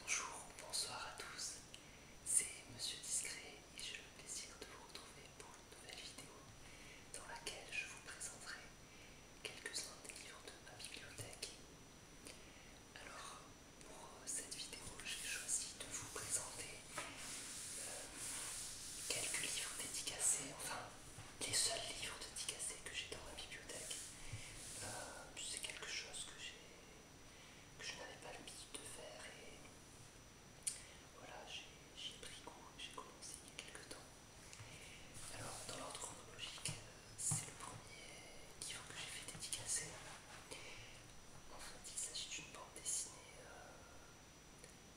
Bonjour ou bonsoir à tous, c'est Monsieur Discret et j'ai le plaisir de vous retrouver pour une nouvelle vidéo dans laquelle je vous présenterai quelques-uns des livres de ma bibliothèque. Alors, pour euh, cette vidéo, j'ai choisi de vous présenter euh, quelques livres dédicacés, enfin les seuls livres dédicacés que j'ai dans ma bibliothèque. Euh, c'est quelque chose que j'ai que je n'avais pas le l'habitude de faire et voilà, j'ai pris goût, j'ai commencé il y a quelques temps. Alors, dans l'ordre chronologique, euh, c'est le premier livre que j'ai fait dédicacer. En fait, il s'agit d'une bande dessinée euh,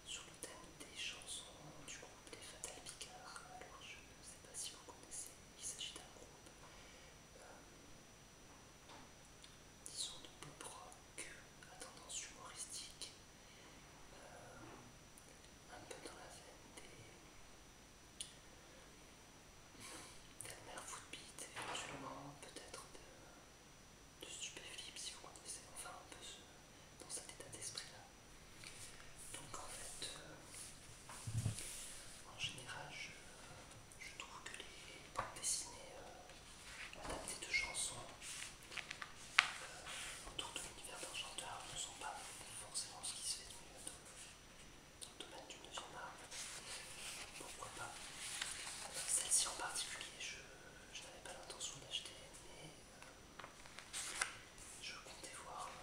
sur le thème des chansons du groupe Les Fatal Picards. Alors, je ne sais pas si vous connaissez, il s'agit d'un groupe disons de pop rock à tendance humoristique, euh, un peu dans la veine des d'Elmer Footbeat, éventuellement peut-être de, de si vous connaissez, enfin un peu dans cet état d'esprit là. Donc en fait, euh, en général, je, trouve que les bandes dessinées euh, adaptées de chansons euh, autour de l'univers chanteur ne sont pas forcément ce qui se fait de mieux dans, le domaine du 9 Pourquoi pas euh, Celle-ci en particulier, je, n'avais pas l'intention d'acheter, mais je comptais voir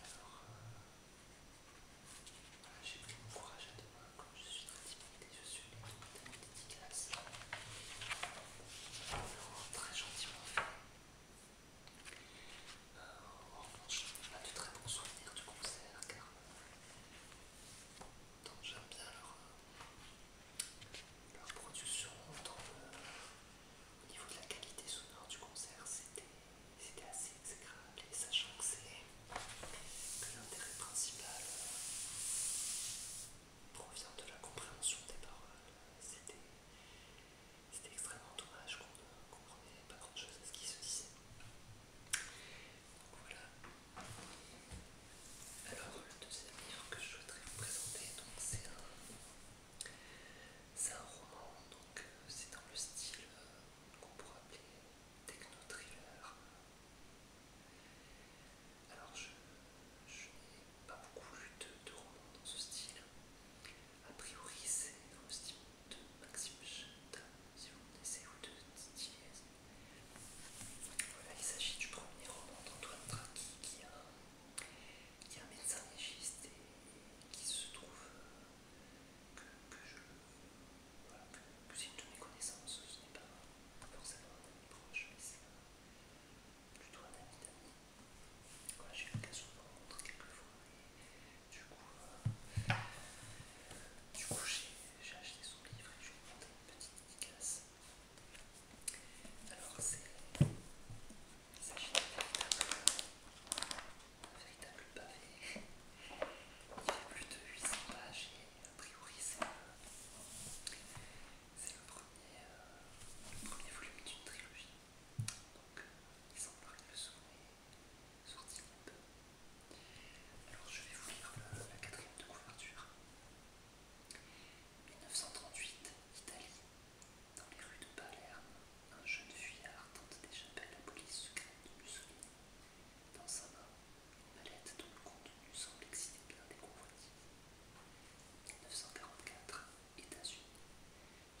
Alors, j'ai pris mon courage à deux mains je suis très et je suis extrêmement dédicace. très gentiment fait. Euh, en revanche, on a de très bons souvenirs du concert car euh, j'aime bien leur, euh, production au niveau de la qualité sonore du concert, c'était assez exécrable et sachant que c'est que l'intérêt principal euh, provient de la compréhension des paroles, c'était extrêmement dommage qu'on ne comprenait pas grand chose à ce qui se disait. Donc voilà. Alors le deuxième que je souhaiterais vous présenter, c'est un c'est un roman, donc euh, c'est dans le style euh, qu'on pourrait appeler techno-thriller. Alors je, n'ai pas beaucoup lu de, romans dans ce style. A priori c'est dans le style de Maxime Chantin, si vous connaissez, ou de Stiles. Voilà, il s'agit du premier roman d'Antoine Traki qui a qui est un médecin légiste et qui se trouve que, je que, c'est une de mes connaissances, ce n'est pas forcément un ami proche, mais c'est plutôt un ami d'amis. Voilà, j'ai eu l'occasion de le rencontrer quelques fois et du coup, euh, du coup j'ai acheté son livre et je lui ai une petite dédicace. Alors c'est il s'agit d'un véritable pavé. Il fait plus de 800 pages et a priori c'est le, premier, volume d'une trilogie. Donc il semble le sommet, sorti Alors je vais vous lire la quatrième de couverture. 1938, Italie, dans les rues de Palerme, un jeune fuyard tente d'échapper à la police secrète de Mussolini. Dans sa main, une mallette dont le contenu semble exciter bien des convoitises. 1944, États-Unis.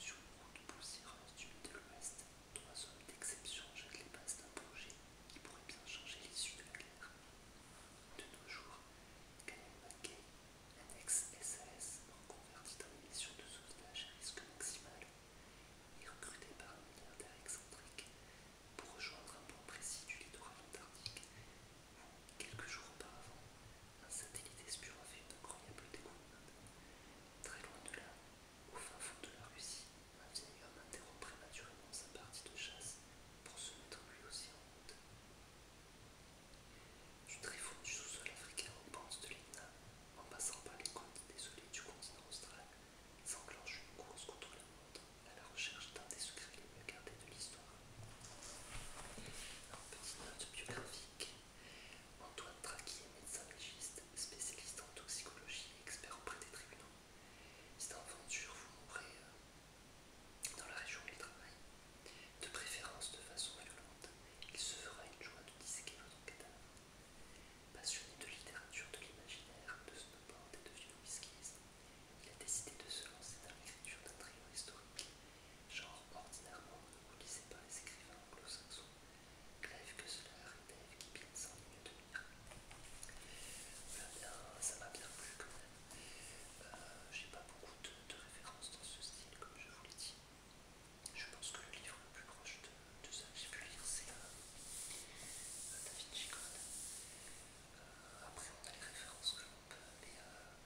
Sur une route poussiéreuse du de ouest trois hommes d'exception jettent les bases d'un projet qui pourrait bien changer l'issue de la guerre. De nos jours, un ex-SAS reconverti dans une mission de sauvetage à risque maximal est recruté par un milliardaire excentrique pour rejoindre un point précis du littoral antarctique où, quelques jours auparavant, un satellite espion a fait une incroyable découverte. Très loin de là, au fin fond de la Russie, un vieil homme interrompt prématurément sa partie de chasse pour se mettre lui aussi en route. Du tréfonds du sous-sol africain aux pentes de l'Etna, en passant par les côtes désolées du continent austral, s'enclenche une course contre la montre à la recherche d'un des secrets les mieux gardés de l'histoire. un petite note biographique, Antoine Traki est médecin légiste, spécialiste en toxicologie et expert auprès des tribunaux. Si vous mourrez euh, dans la région où il travaille, de préférence de façon violente, il se fera une joie de disséquer votre cadavre. Passionné de littérature, de l'imaginaire, de snowboard et de vieux whiskies, il a décidé de se lancer dans l'écriture d'un trio historique, genre ordinairement vous ne lisez pas les écrivains anglo-saxons, que cela et qui bien sans ligne de mire. Eh ça m'a bien plu quand même. Euh, j'ai pas beaucoup de, références dans ce style, comme je vous l'ai dit. Je pense que le livre le plus proche de, ça que j'ai pu lire, c'est David euh, euh, Da après, on a les références que l'on peut, mais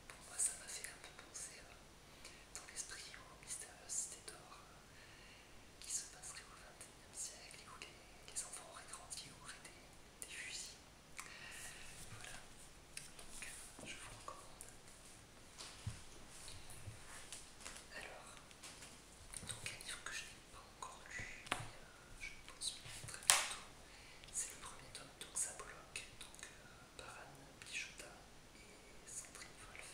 pour moi, ça m'a fait un peu penser dans l'esprit aux mystérieuses cités d'or qui se passerait au XXIe siècle et où les, enfants auraient grandi, auraient des fusils. Voilà, donc je vous recommande. Alors, donc un livre que je n'ai pas euh, encore lu, mais je pense bien très bientôt. C'est le premier tome, donc ça donc Baran par Bichota et Sandrine Wolf.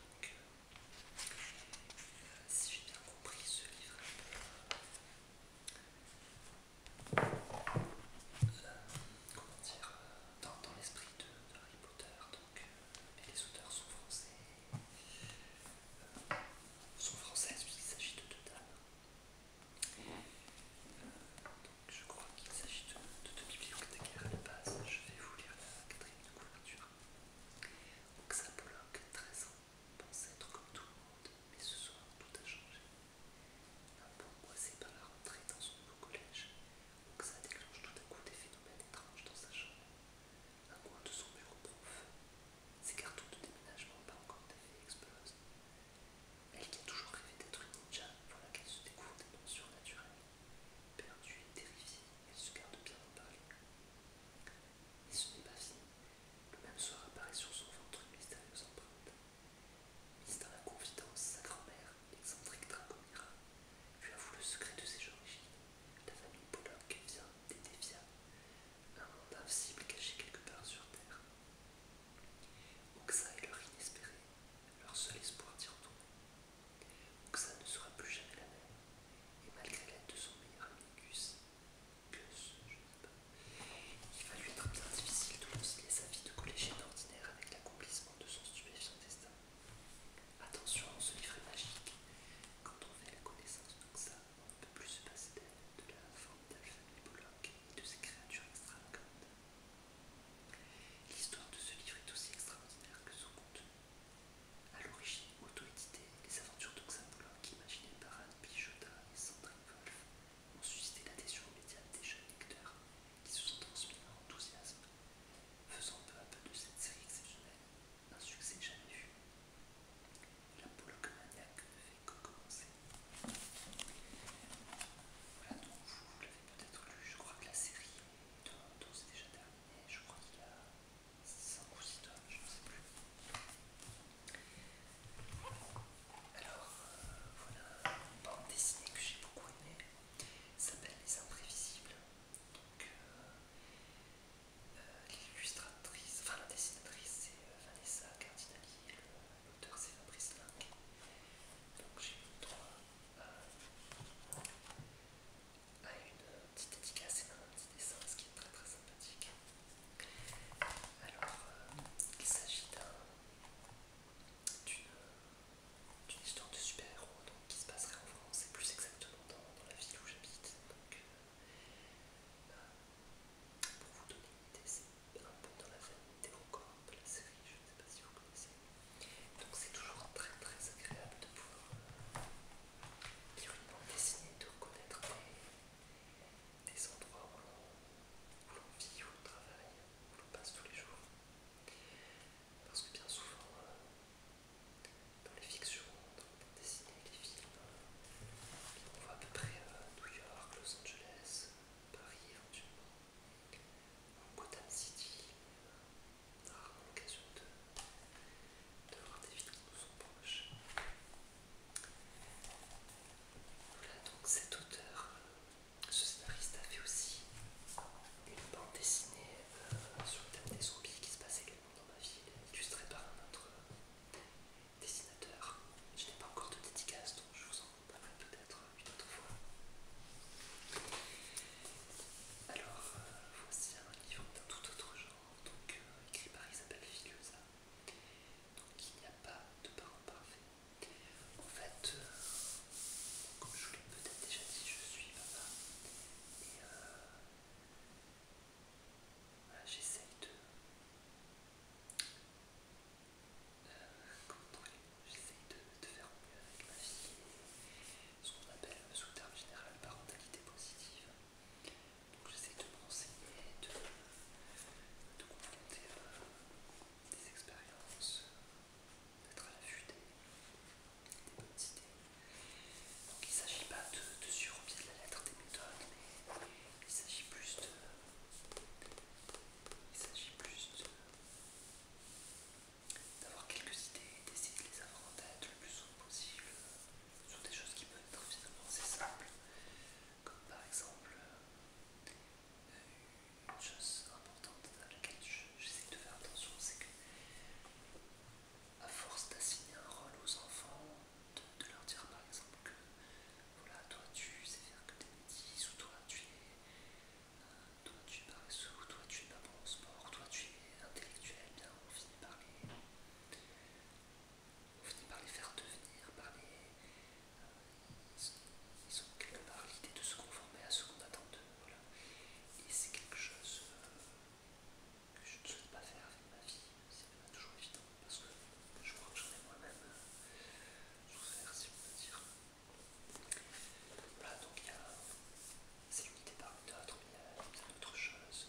Donc, si j'ai bien compris, ce livre comment dire, dans, dans l'esprit de, Harry Potter, euh, donc les auteurs sont français, sont françaises puisqu'il s'agit de deux dames. donc je crois qu'il s'agit de, deux bibliothécaires à la base. Je vais vous lire la quatrième de couverture. Donc ça bloque 13 ans pense être comme tout le monde, mais ce soir tout a changé. Un ah, peu c'est par la rentrée dans son nouveau collège, ça déclenche tout à coup des phénomènes étranges dans sa chambre. Un coin de son bureau prof, Ses cartons de déménagement pas encore défaits explosent. Elle qui a toujours rêvé d'être une ninja, voilà qu'elle se découvre des noms surnaturels. Perdue et terrifiée, elle se garde bien en parler. Et ce n'est pas fini. Le même soir apparaît sur son ventre une mystérieuse empreinte. Mise dans la confidence, sa grand-mère, l'excentrique Dragomira, lui avoue le secret de ses origines. La famille qui vient d'Edevia, un monde invisible caché quelque part sur Terre. Oxa est leur inespéré, leur seul espoir d'y retourner. Oxa ne sera plus jamais la même, et malgré l'aide de son meilleur ami il va lui être bien difficile de concilier sa vie de collégienne ordinaire avec l'accomplissement de son stupéfiant destin. Attention, ce livre est magique. Quand on fait la connaissance de on ne peut plus se passer d'elle, de la forme famille Bullock et de ses créatures extravagantes. L'histoire de ce livre est aussi extraordinaire que son contenu. À l'origine auto-édité, les aventures d'Oxa Bullock, imaginées par Anne et Sandrine Wolf, ont suscité l'adhésion immédiate des jeunes lecteurs qui se sont transmis un enthousiasme, faisant peu à peu de cette série exceptionnelle un succès jamais vu. La que maniaque ne fait que commencer. Voilà donc, vous, l'avez peut-être lu, je crois que la série de c'est déjà terminée, je crois qu'il y a 5 ou 6 tomes, je ne sais plus. Alors, voilà une bande dessinée que j'ai beaucoup aimée. s'appelle Les Imprévisibles. Donc, l'illustratrice, enfin la dessinatrice, c'est Vanessa Cardinali, l'auteur c'est Fabrice Lang. Donc, j'ai eu droit à, une petite dédicace et un petit dessin, ce qui est très très sympathique. Alors, euh, il s'agit d'une histoire de super-héros qui se passerait en France et plus exactement dans, la ville où j'habite. Donc, euh, bah, pour vous donner une idée, c'est un peu dans la famille des records de la série, je ne sais pas si vous connaissez. Donc, c'est toujours très très agréable de pouvoir lire euh, une bande dessinée, de reconnaître des endroits où l'on vit, où l'on travaille, où l'on passe tous les jours. Parce que bien souvent, euh, dans les fictions, dans les les films, on voit à peu près euh, New York, Los Angeles, Paris éventuellement, Gotham City, euh, on a rarement l'occasion de, de voir des villes qui nous sont proches. Voilà donc cet auteur, euh, ce scénariste a fait aussi une bande dessinée euh, sur le thème des zombies qui se passe également dans ma ville, illustrée par un autre euh, dessinateur. Je n'ai pas encore de dédicace donc je vous en parlerai peut-être une autre fois. Alors voici un livre d'un tout autre genre, donc écrit par Isabelle Figueza. Donc il n'y a pas de parent parfait. En fait, euh, comme je vous l'ai peut-être déjà dit, je suis papa. Et euh, j'essaye de... Euh, j'essaye de, faire mieux avec ma fille. Ce qu'on appelle euh, sous terme général parentalité positive. Donc j'essaie de m'enseigner, de, de confronter euh, des expériences, d'être à l'affût des, bonnes idées. Donc il ne s'agit pas de, au pied de la lettre des méthodes, mais il s'agit plus de... Il s'agit plus de d'avoir quelques idées, d'essayer de les avoir en tête le plus souvent possible, sur des choses qui peuvent être finalement assez simples, comme par exemple euh, une chose importante à laquelle j'essaie de faire attention, c'est que à force d'assigner un rôle aux enfants, de, leur dire par exemple que voilà, toi tu sais faire que des métis, ou toi tu es, euh, toi, tu es paresseux, ou toi tu es pas bon au sport, toi tu es intellectuel, on finit par les on finit par les faire devenir, par euh, ils ont quelque part l'idée de se conformer à ce qu'on attend d'eux. Voilà. Et c'est quelque chose euh, que je ne souhaite pas faire avec ma vie, c'est pas toujours évident, parce que je crois que j'en ai moi-même euh, souffert, si on peut dire. Voilà, donc il y a. C'est l'unité parmi d'autres, mais il y a une d'autres choses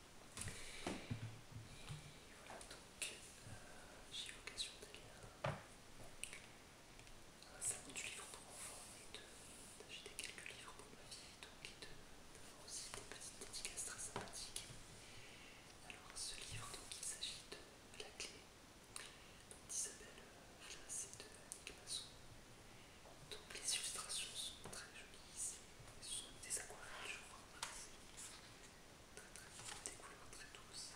Et voilà, donc j'ai eu l'occasion d'aller à, un salon du livre pour enfants et d'acheter quelques livres pour ma vie, donc et d'avoir aussi des petites dédicaces très sympathiques. Alors ce livre, donc il s'agit de La Clé d'Isabelle Flas et de Nick Masson. Donc les illustrations sont très jolies, ce sont des aquarelles je très très beau, des couleurs très douces.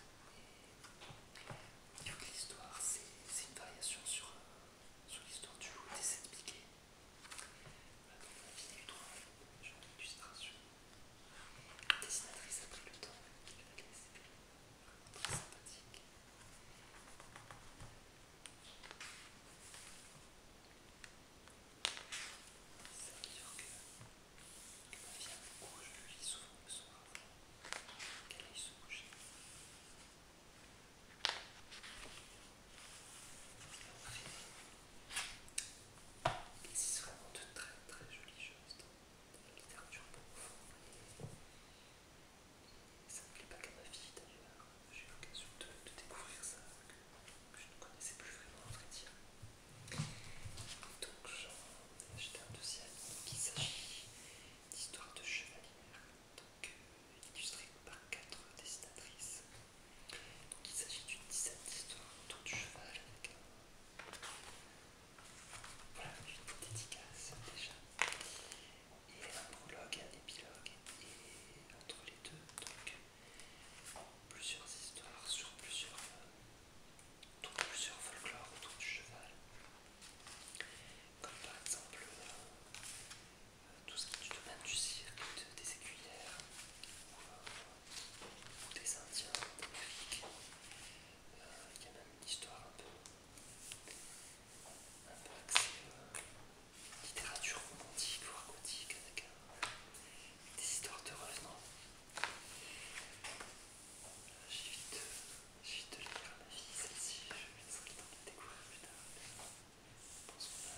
Et toute l'histoire, c'est une variation sur, l'histoire du loup des sept piquets. Voilà, donc la vidéo 3, j'ai une illustration. La dessinatrice a pris le temps de la laisser, vraiment très sympathique. C'est veut dire que ma fille a beaucoup, je le lis souvent le soir qu'elle aille se coucher. Et on existe vraiment de très très jolies choses dans la littérature profonde. Et Ça ne me plaît pas qu'à ma fille d'ailleurs, j'ai eu l'occasion de, découvrir ça que je ne connaissais plus vraiment à vrai dire. Donc j'en ai acheté un deuxième qui s'agit d'histoires de chevalière, donc euh, illustrée par quatre dessinatrices. Donc il s'agit d'une dizaine d'histoires autour du cheval avec un... Voilà, une dédicace déjà. Et un prologue et un épilogue. Et entre les deux, donc plusieurs histoires sur plusieurs, euh, plusieurs folklores autour du cheval, comme par exemple euh, euh, tout ce qui est du domaine du cirque, des écuyères ou, des Indiens Il y a même une histoire un peu, axée littérature romantique ou gothique, avec, des histoires de revenants. Euh, j'ai vite, de lire à ma fille celle-ci, je vais en train de découvrir plus tard. Je pense qu'on a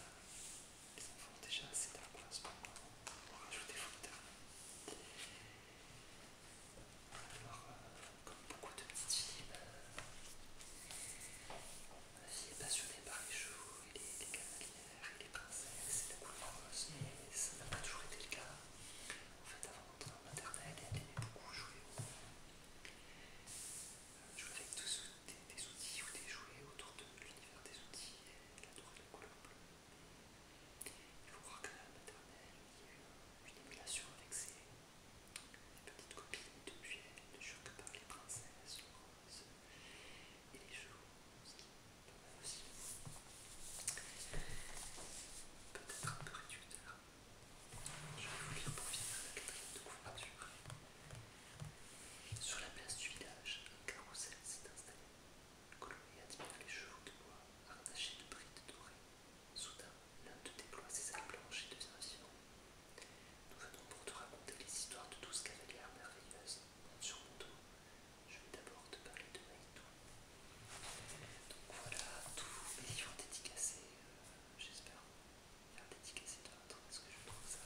les enfants déjà assez tard pour moment. on rajoute des fous tard. Alors, euh, comme beaucoup de petites filles, ben, fille est passionnée par les chevaux les, les il les princesses et la couleur rose, mais ça n'a pas toujours été le cas. En fait, avant d'entrer en maternelle, elle aimait beaucoup jouer. Euh, jouer avec tous, des, outils ou des jouets autour de l'univers des outils, elle adorait la couleur bleue. Il faut croire que la maternelle, il y a eu une émulation avec ses, petites copines depuis elle, ne joue que par les princesses, et les chevaux, qui aussi peut-être un peu réducteur. Je vais vous lire pour finir la quatrième de couverture. Sur la place du village, un carrousel s'est installé. colonel admire les chevaux de bois attachés de brides dorées. Soudain, l'un de déploie ses ailes blanches et devient vivant. Nous venons pour te raconter les histoires de douze cavalières merveilleuses. merveilleuse. sur mon dos. Je vais d'abord te parler de Maïtou. Donc voilà, tous les livres dédicacés, euh, j'espère faire dédicacer de votre parce que je trouve ça.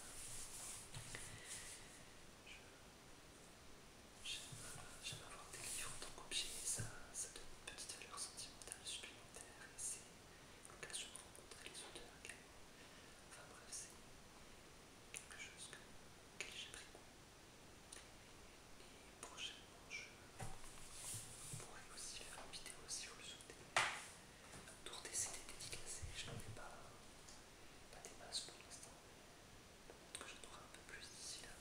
J'aime avoir des livres en tant qu'objet, ça, ça donne une petite valeur sentimentale supplémentaire et c'est l'occasion de rencontrer les auteurs Enfin bref, c'est quelque chose que, j'ai pris Et prochainement, je pourrai aussi faire une vidéo si vous le souhaitez. Tour des CD dédicacés, je n'en ai pas, pas des masses pour l'instant, Je être que j'en aurai un peu plus d'ici là.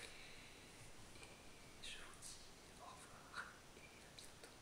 Et je vous dis au revoir et à bientôt.